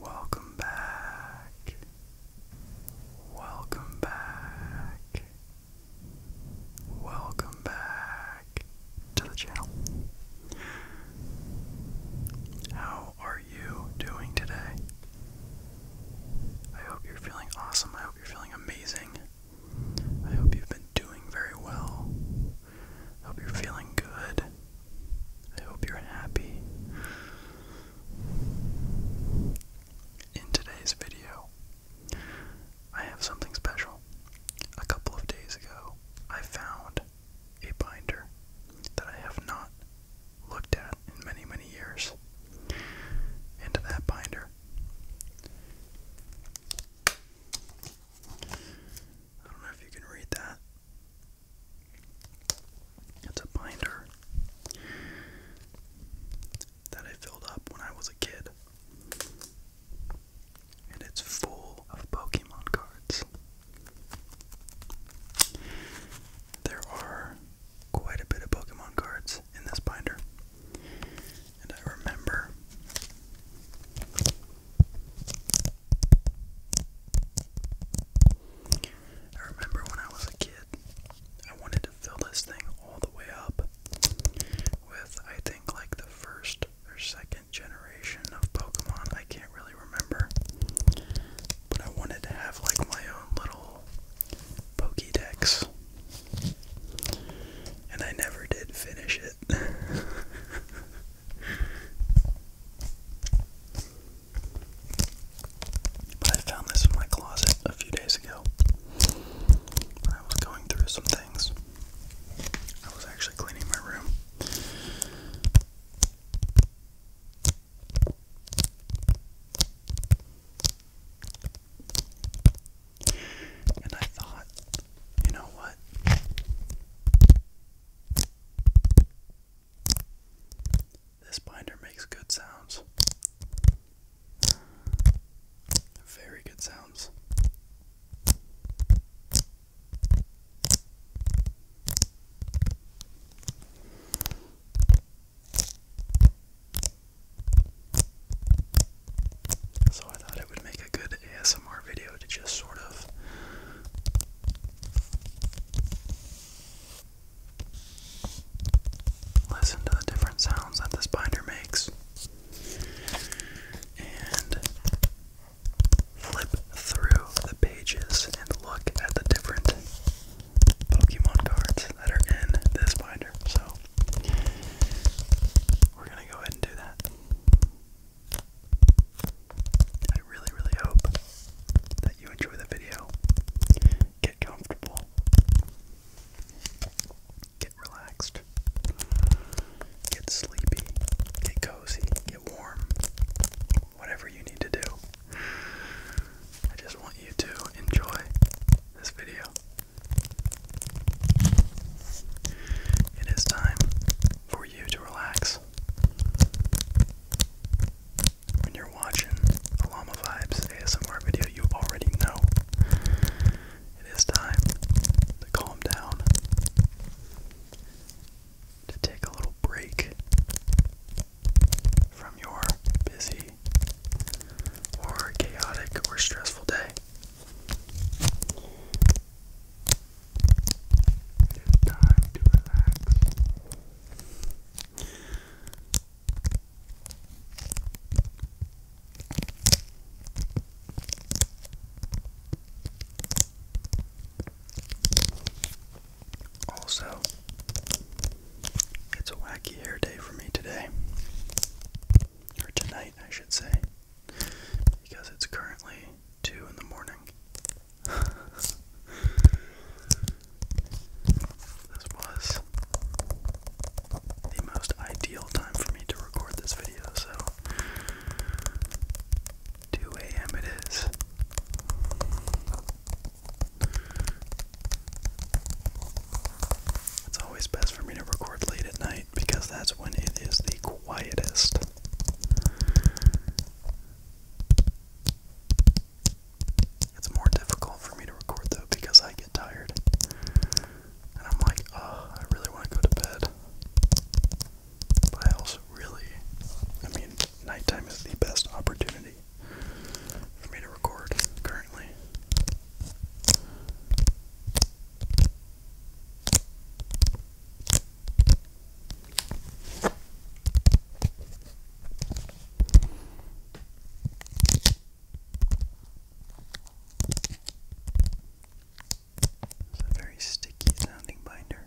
Welcome back. Welcome back. Welcome back to the channel. How are you doing today? I hope you're feeling awesome. I hope you're feeling amazing. I hope you've been doing very well. hope you're feeling good. I hope you're happy. In today's video, I have something special. A couple of days ago, I found a binder that I have not looked at in many, many years. Into that binder. I don't know if you can read that. It's a binder that I filled up when I was a kid and it's full of Pokemon cards. There are quite a bit of Pokemon cards in this binder, and I remember I remember when I was a kid, I wanted to fill this thing all the way up with I think like the first or second generation of Pokemon. I can't really remember. But I wanted to have like my own little Pokédex. And I never did finish it. But I found this in my closet a few days ago I was going through some things. I was actually cleaning my room and I thought, you know what? This binder makes good sounds. Very good sounds. So I thought it would make a good ASMR video to just sort of listen to the different sounds that this binder makes and flip through the pages and look at the different Pokemon cards that are in this binder. So, we're gonna go ahead and do that. I really, really hope that you enjoy the video. Get comfortable, get relaxed, get sleepy, get cozy, get warm, whatever you need to do. I just want you to enjoy this video. It is time for you to relax. When you're watching the Llama Vibes ASMR video, you already know it is time to calm down to take a little break from your busy or chaotic or stressful day. It is time to relax. Also, it's a wacky hair day for me today. Or tonight, I should say. Because it's currently 2 in the morning. this was the most ideal time for me to record this video, so 2 a.m. it is. It's always best for me to record late at night because that's when it is the quietest. It's more difficult for me to record though because I get tired. And I'm like, oh, I really want to go to bed. But I also really, I mean, nighttime is the best opportunity for me to record currently. It's a very sticky sounding binder.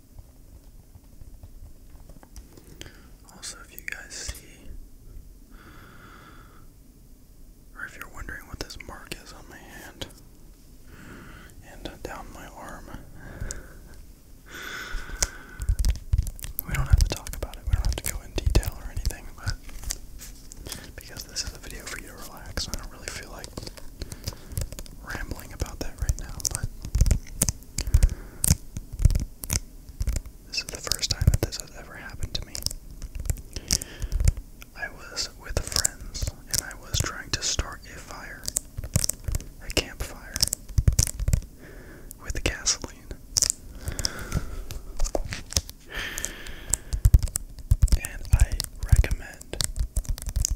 Also, if you guys see, or if you're wondering what this mark is on my hand and down my arm, we don't have to talk about it, we don't have to go in detail or anything, but because this is a video for you to relax, I don't really feel like rambling about that right now, but this is the first time that this has ever happened to me. I was with friends and I was trying to start a fire, a campfire, with gasoline. And I recommend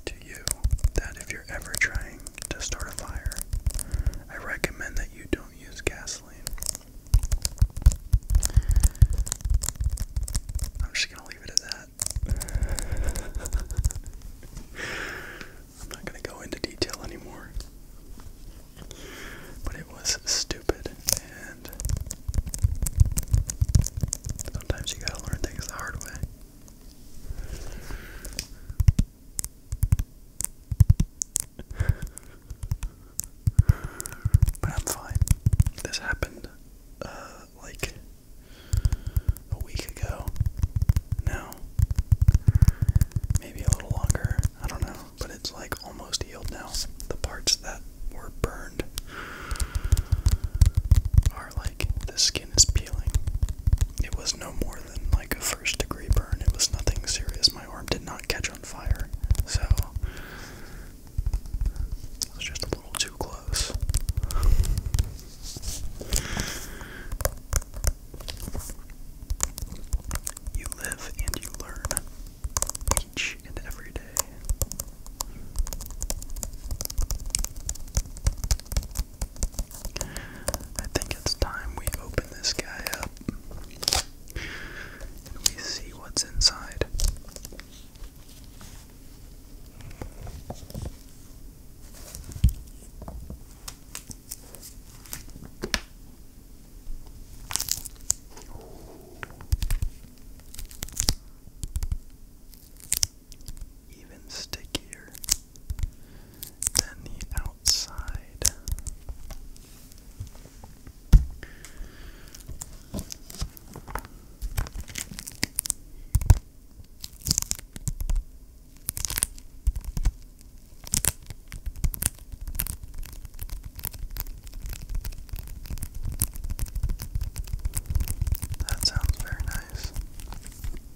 to you that if you're ever trying to start a fire, I recommend that you don't use gasoline. I'm just gonna leave it at that. I'm not gonna go into detail anymore. But it was stupid, and sometimes you gotta learn things the hard way but I'm fine. This happened uh, like a week ago now. Maybe a little longer, I don't know, but it's like almost healed now. The parts that were burned are like this it was no more than like a first degree burn, it was nothing serious. My arm did not catch on fire, so it was just a little too close. You live and you learn each and every day. I think it's time we open this guy up and we see what's inside. Even stickier then the outside. That sounds very nice.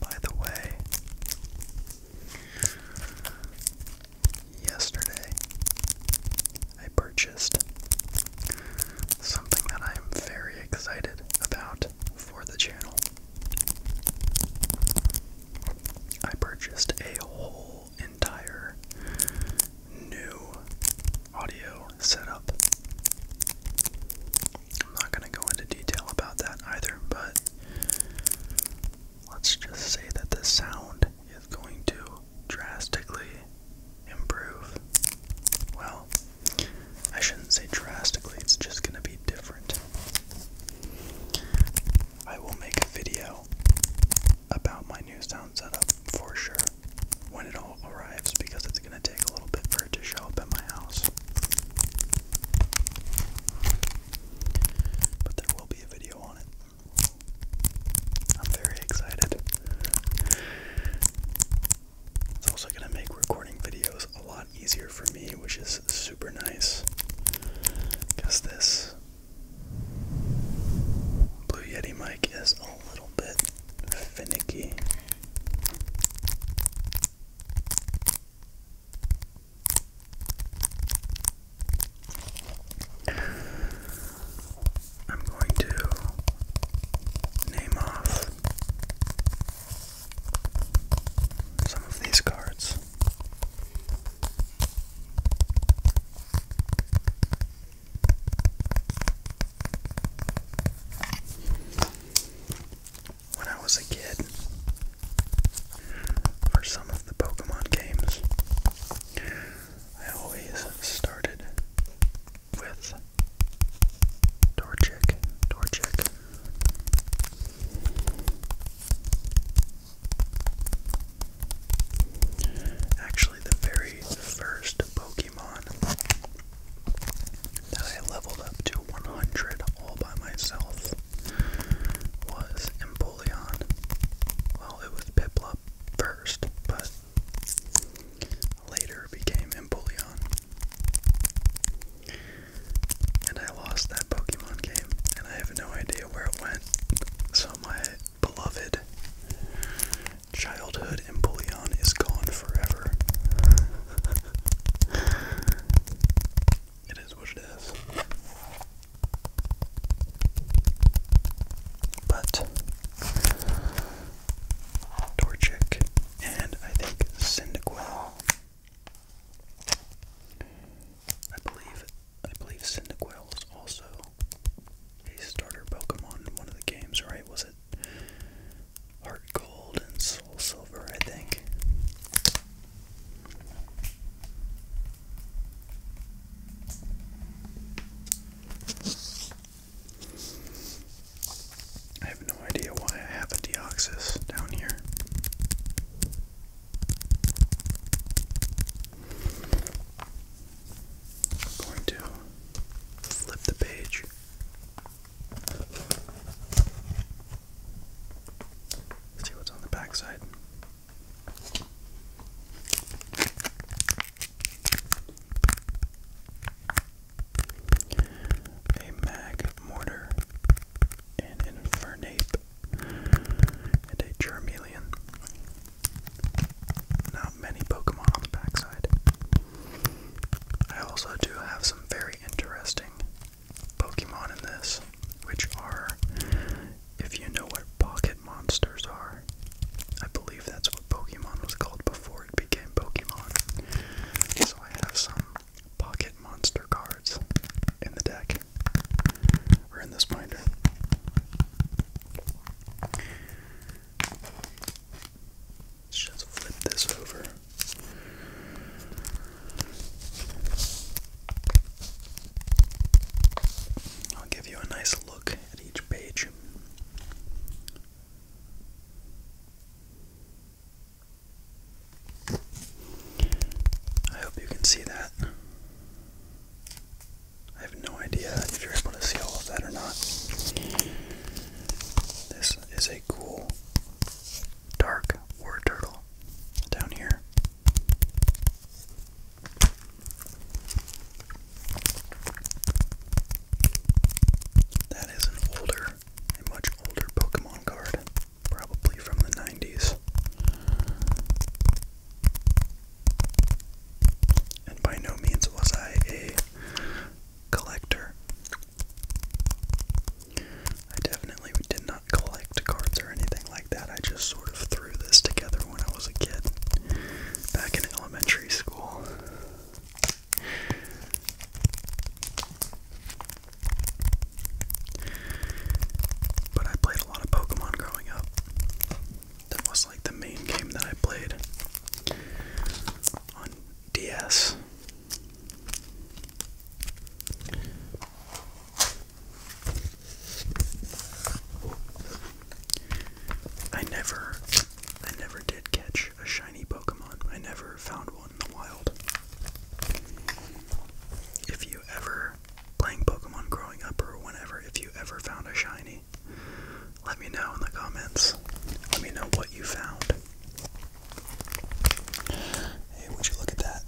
By the way, yesterday I purchased something that I'm very excited about for the channel. I purchased a whole entire new audio setup I'm not going to go into detail about that either, but let's just say that the sound is going to drastically improve. Well, I shouldn't say drastically, it's just going to be different. I will make a video about my new sound setup for sure when it all arrives because it's going to take a little bit for to show up at my house. But there will be a video on it. I'm very excited. It's also going to make recording videos a lot easier for me, which is super nice. Because this Blue Yeti mic is a little bit finicky. I'm going to name off some of these cards when I was a kid for some of the Pokemon games. I always started with Torchic, Torchic. Actually, the very first Pokemon that I leveled up to 100 all by myself was Empoleon. Well, it was Piplup first, but later became Empoleon. And I lost that Pokemon game, and I have no idea where it went. So my beloved childhood Empoleon is gone forever. It is what it is. But Torchic and I think Cyndaquil. I believe I believe Cyndaquil was also a starter Pokemon in one of the games, right? Was it Heart Gold and Soul Silver, I think? I have no idea why I have a Deoxys down here. I'm going to flip the page. Let's see what's on the back side. A mag an infernape, and a germelion. Not many Pokemon on the backside. I also do have some very interesting Pokemon in this, which are, if you know what pocket monsters are, I believe that's what Pokemon was called before it became Pokemon. So I have some pocket monster cards in the deck, or in this binder. Let's just flip this over. I'll give you a nice look at each page. I hope you can see that. I have no idea if you're able to see all of that or not. This is a cool dark war turtle down here. That is an older, a much older Pokemon card, probably from the 90s. And by no means was I a collector. I definitely did not collect cards or anything like that. I just sort of threw this together when I was a kid back in elementary school. But I played a lot of Pokemon growing up. That was like the main game that I played on DS. I never I never did catch a shiny Pokemon. I never found one in the wild. If you ever playing Pokemon growing up or whenever, if you ever found a shiny, let me know in the comments. Let me know what you found. Hey, would you look at that?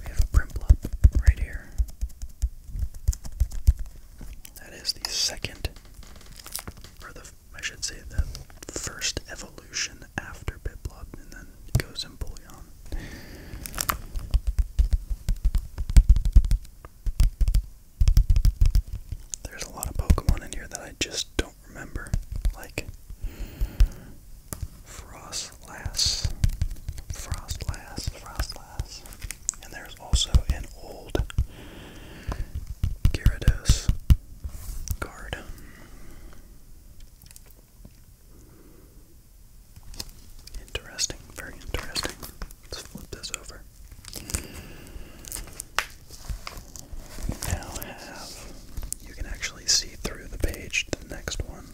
We have a Primplop right here. That is the second, or the, I should say, the first evolution after Piplup, and then goes in Bullion. There's a lot of Pokemon in here that I just don't remember, like Frostlass, Frostlass, Frostlass. And there's also an old Gyarados card. Interesting, very interesting. Let's flip this over. We now have you can actually see through the page to the next one.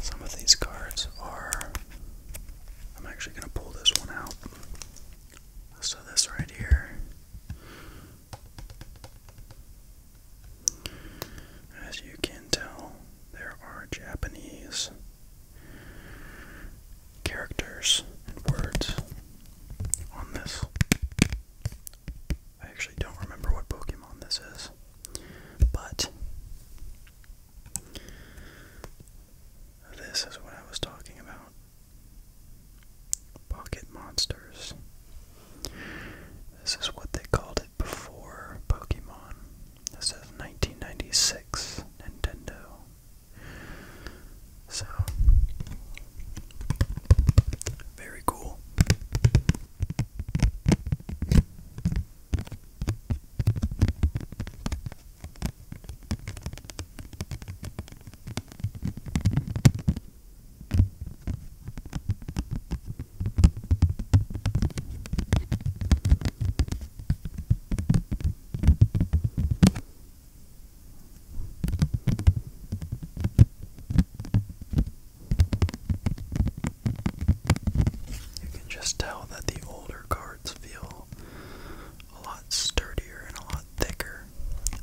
Some of these cards are. I'm actually going to pull this one out. So, this right here. As you can tell, there are Japanese characters and words on this. I actually don't remember what Pokemon this is, but this is what I was talking about. Pocket Monsters. This is what they called it before Pokemon. This is 1996 Nintendo. So, very cool. You can just tell that the older cards feel a lot sturdier and a lot thicker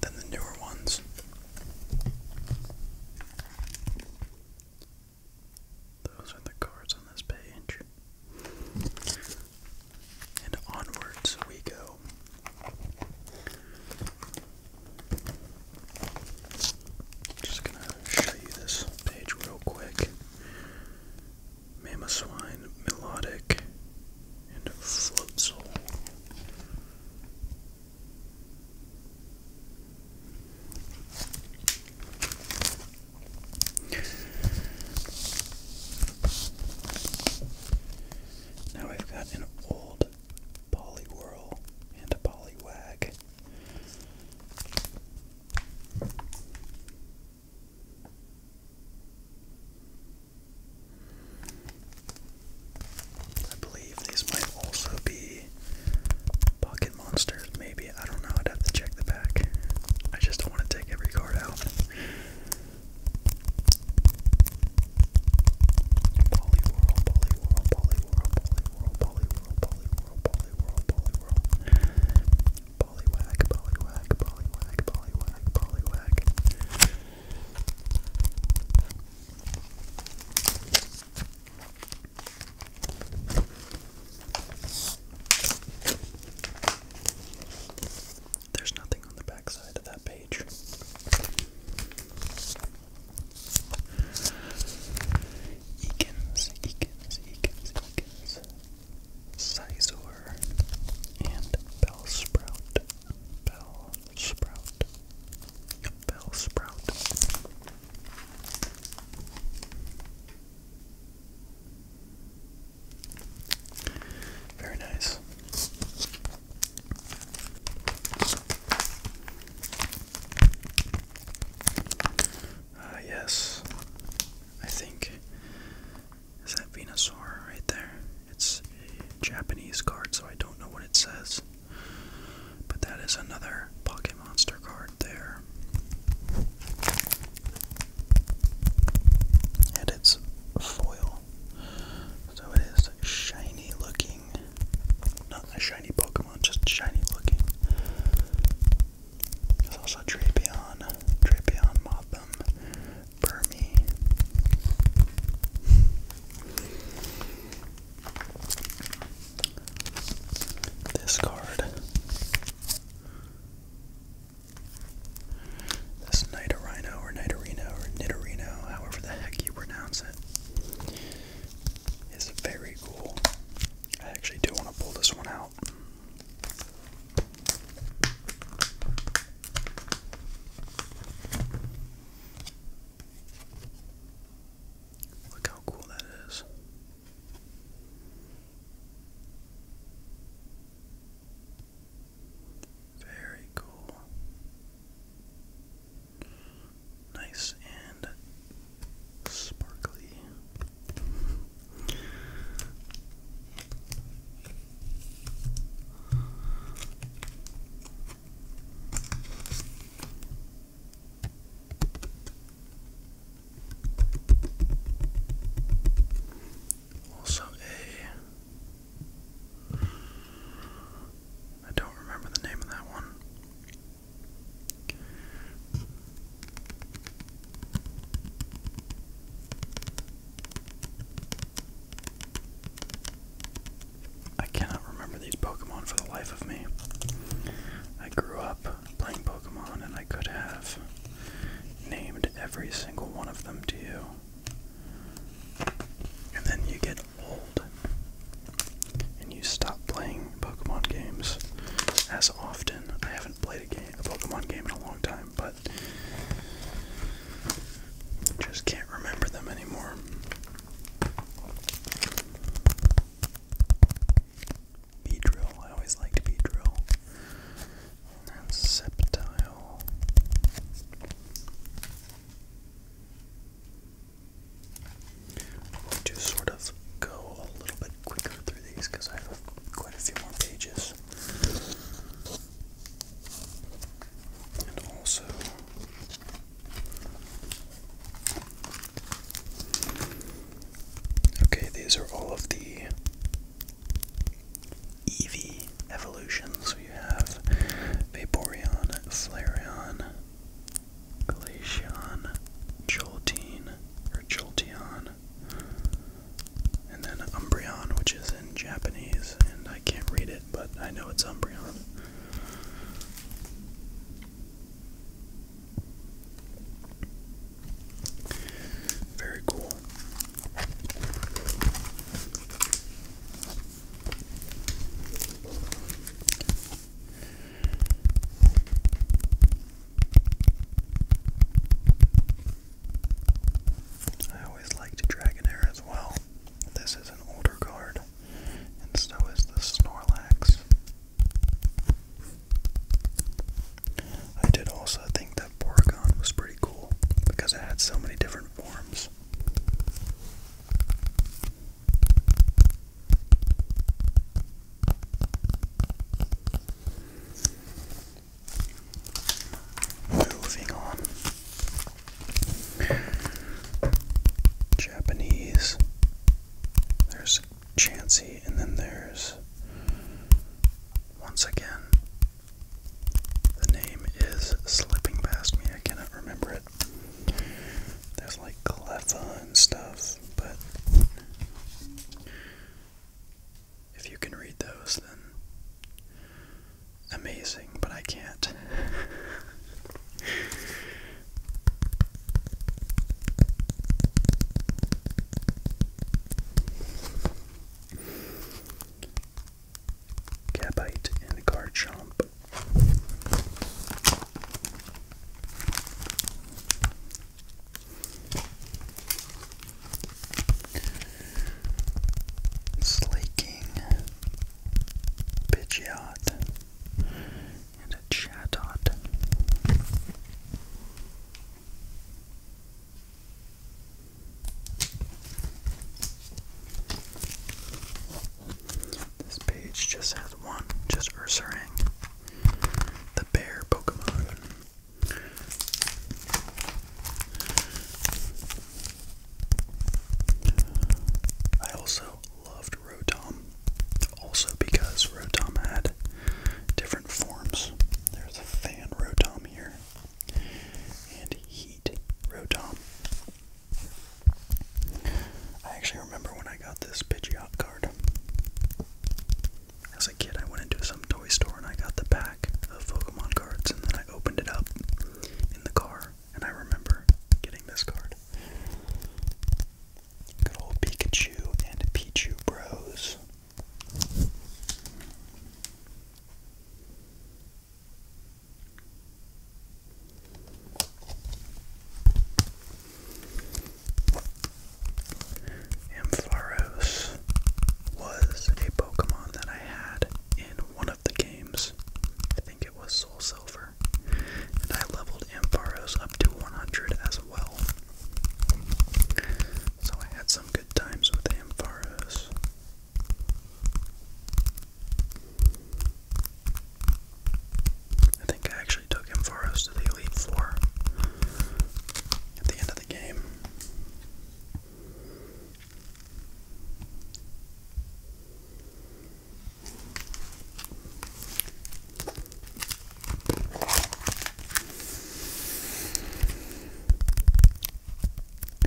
than the newer ones. Those are the cards on this page. And onwards we go. Just gonna show you this page real quick. Mamoswine, Melodic, and Float Now we have got an old Poliwhirl and Poliwag. I believe these might also be pocket monsters, maybe. I don't know. I'd have to check the back. I just don't want to take every card out. Polyworld, Polyworld, Polyworld, Polyworld, Polyworld, Polyworld, Polyworld, Polyworld, Polywag, Polywag, Polywag, Polywag, Polywag. There's nothing on the back side of that page. Ekans, Ekans, Ekans, Ekans, Sizor, and Bell Sprout, Bell Sprout, Bell Sprout. Very nice. Uh, yes, I think. Is that Venusaur right there? It's a Japanese card, so I don't know what it says. But that is another Pocket Monster card there. And it's foil. So it is shiny looking. Not a shiny Pokemon, just shiny looking. There's also Drapion, Drapion Motham, Burmy. This card. This Nidorino or Nidorino or Nidorino, however the heck you pronounce it is very cool. I actually do want to pull this one out. Look how cool that is. Very cool nice and sparkly. Also a I don't remember the name of that one. I cannot remember these Pokemon for the life of me. I grew up playing Pokemon and I could have named every single one of them to you. And then you get old and you stop playing Pokemon games as often. I haven't played a game, a Pokemon game in a long time, but just can't remember them anymore. Beedrill, I always liked Beedrill. And Sceptile. We'll just sort of go a little bit quicker through these because I have quite a few more pages. And also, okay, these are all of the Eevee evolutions. We have Vaporeon, Flareon, Glaceon, Jolteon, or Jolteon, and then Umbreon, which is in Japanese, and I can't read it, but I know it's Umbreon. Very cool. I always liked Dragonair as well. This is an older card, and so is the Snorlax. I did also think that Porygon was pretty cool because it had so many different forms. Moving on. Japanese. There's Chansey, and then there's, once again, the name is slipping past me. I cannot remember it. There's like cleffa and stuff, but if you can read those, then amazing, but I can't. Gabite and Garchomp Slaking Pidgeot and a Chatot. This page just has one, just Ursaring the bear Pokemon. I also loved Rotom, also because Rotom had different forms. There's a fan Rotom here, and heat Rotom. I actually remember when I. I got this Pidgeot card. As a kid, I went into some toy store and I got the pack of Pokemon cards, and then I opened it up in the car, and I remember getting this card. Good old Pikachu and Pichu Bros. Ampharos was a Pokemon that I had in one of the games. I think it was Soul Silver. And I leveled Ampharos up to 100 as well. So I had some good times with Ampharos. I think I actually took him for us to the Elite Four at the end of the game.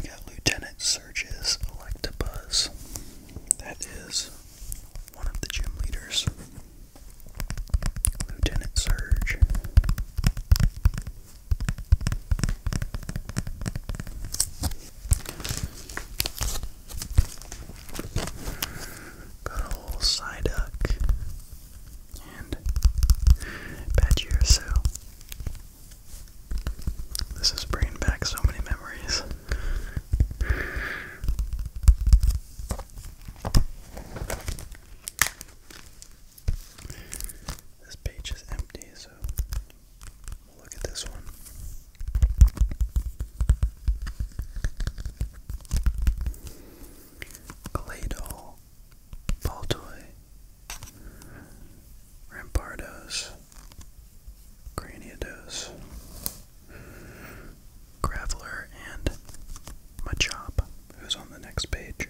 We got Lieutenant Surge's Electabuzz. That is one of the gym leaders. Lieutenant Surge. Got old Psyduck and Pachyrsu. This is bringing back so many memories. This page is empty, so we'll look at this one. Clay doll, rampardos, craniados, Graveler, and Machop, who's on the next page.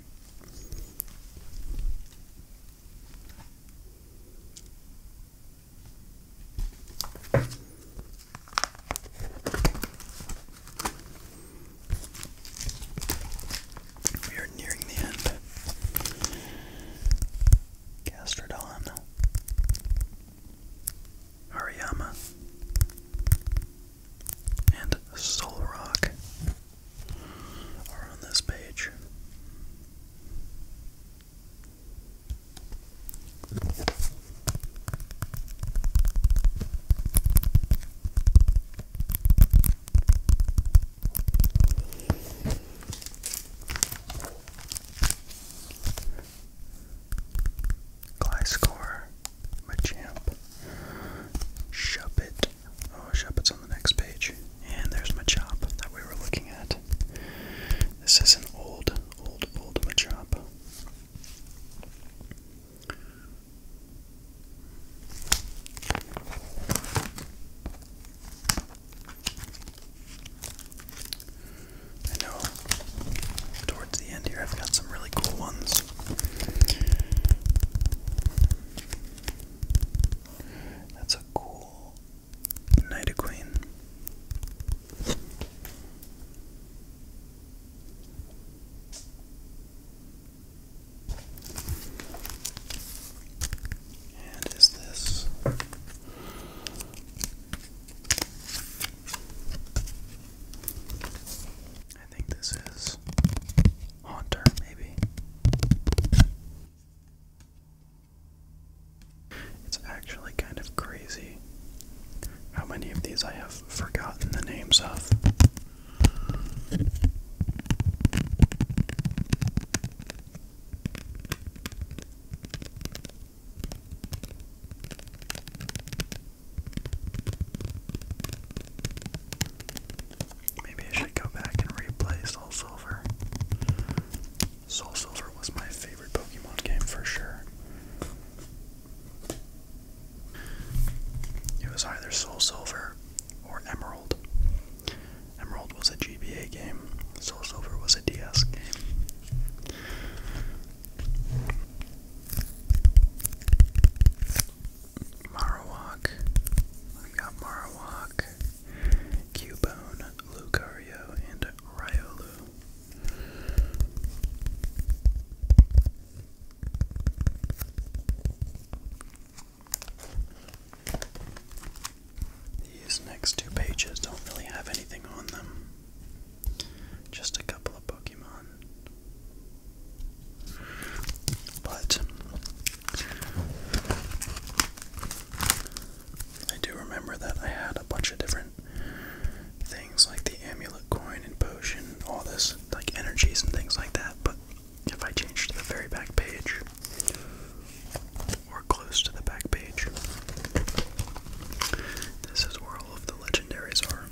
We are nearing the end. Gastrodon, Hariyama, and Soul Rock are on this page. Gliscor Machamp, Shuppet. Oh, Shuppet's on the next page. And there's my chop that we were looking at. This is an old, old, old Machop. I know towards the end here I've got some really cool ones. That's a cool Night Queen. And is this I think this is Haunter, maybe. It's actually kind of crazy how many of these I have forgotten the names of. Maybe I should go back and replay Soul Silver. Soul Silver was my favorite Pokemon game for sure. It was either Soul Silver or Emerald. Emerald was a GBA game, Soul Silver was a DS game. Marowak. We got Marowak, Cubone, Lucario, and Riolu. These next two pages don't really have anything on them. Just a couple of Pokemon. But I do remember that I had a bunch of different things like the amulet coin and potion, all this, like energies and things like that. But if I change to the very back page, or close to the back page, this is where of the legendaries are.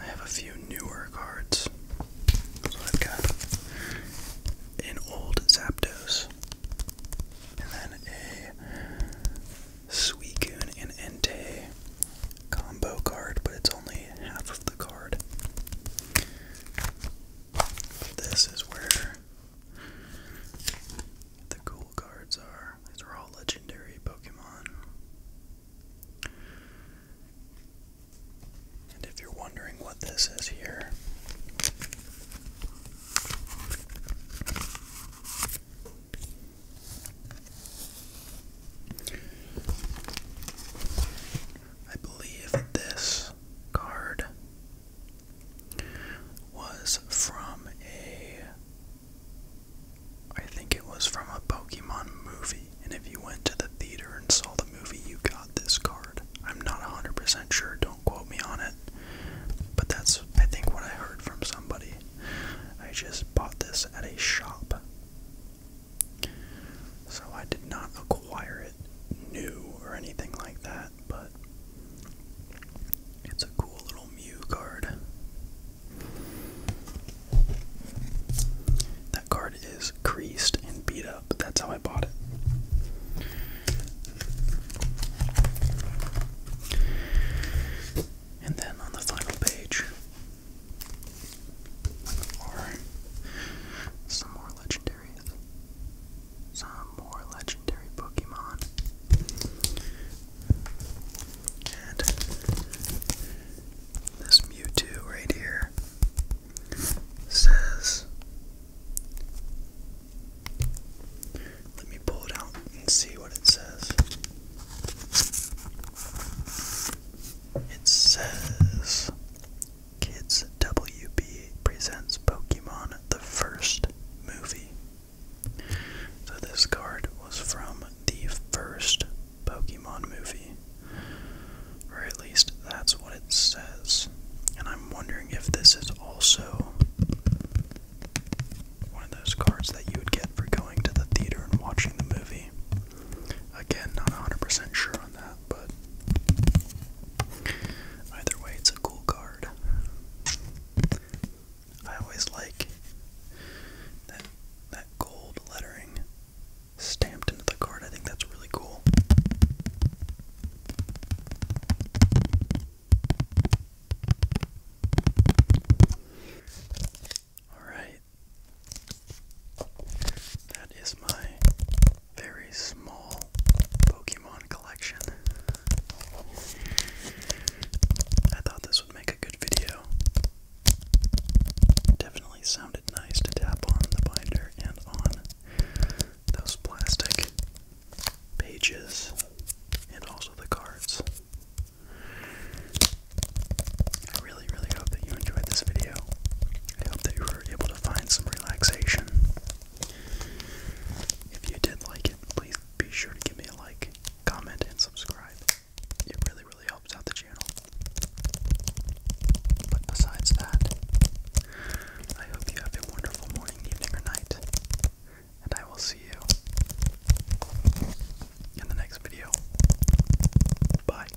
I have a few newer cards. That's I've got. An old Zapdos. And then a Suicune and Entei combo card, but it's only half of the card. This is where the cool cards are these are all legendary Pokemon. And if you're wondering what this is here, I believe this card was from a. I think it was from a Pokemon movie, and if you went to the theater and saw the movie, you got this card. I'm not 100% sure, don't quote me on it, but that's, I think, what I heard from somebody. I just bought this at a shop. So I did not acquire it new or anything like that but it's a cool little Mew card. That card is creased and beat up. but That's how I bought it. And then on the final page are some more legendary some more legendary Pokemon. And this Mewtwo right here says. Let me pull it out and see what it says. It says Kids WB presents Pokemon the first movie. So this card was from the first Pokemon movie. Or at least that's what it says. And I'm wondering if this is also one of those cards that you would get for going to the theater and watching the movie. Again, not 100% sure on that, but either way, it's a cool card. I always like that that gold lettering stamped into the card. I think that's really cool. All right. That is my very small Pokemon collection. I thought this would make a good video. Definitely sounded nice to tap on the binder and on those plastic pages and also the cards. I really, really hope that you enjoyed this video. I hope that you were able to find some relaxation. If you did like it, please be sure to give me a like, comment, and subscribe. It really, really helps out the channel. But besides that, I hope you have a wonderful morning, evening, or night. And I will see you in the next video. Bye.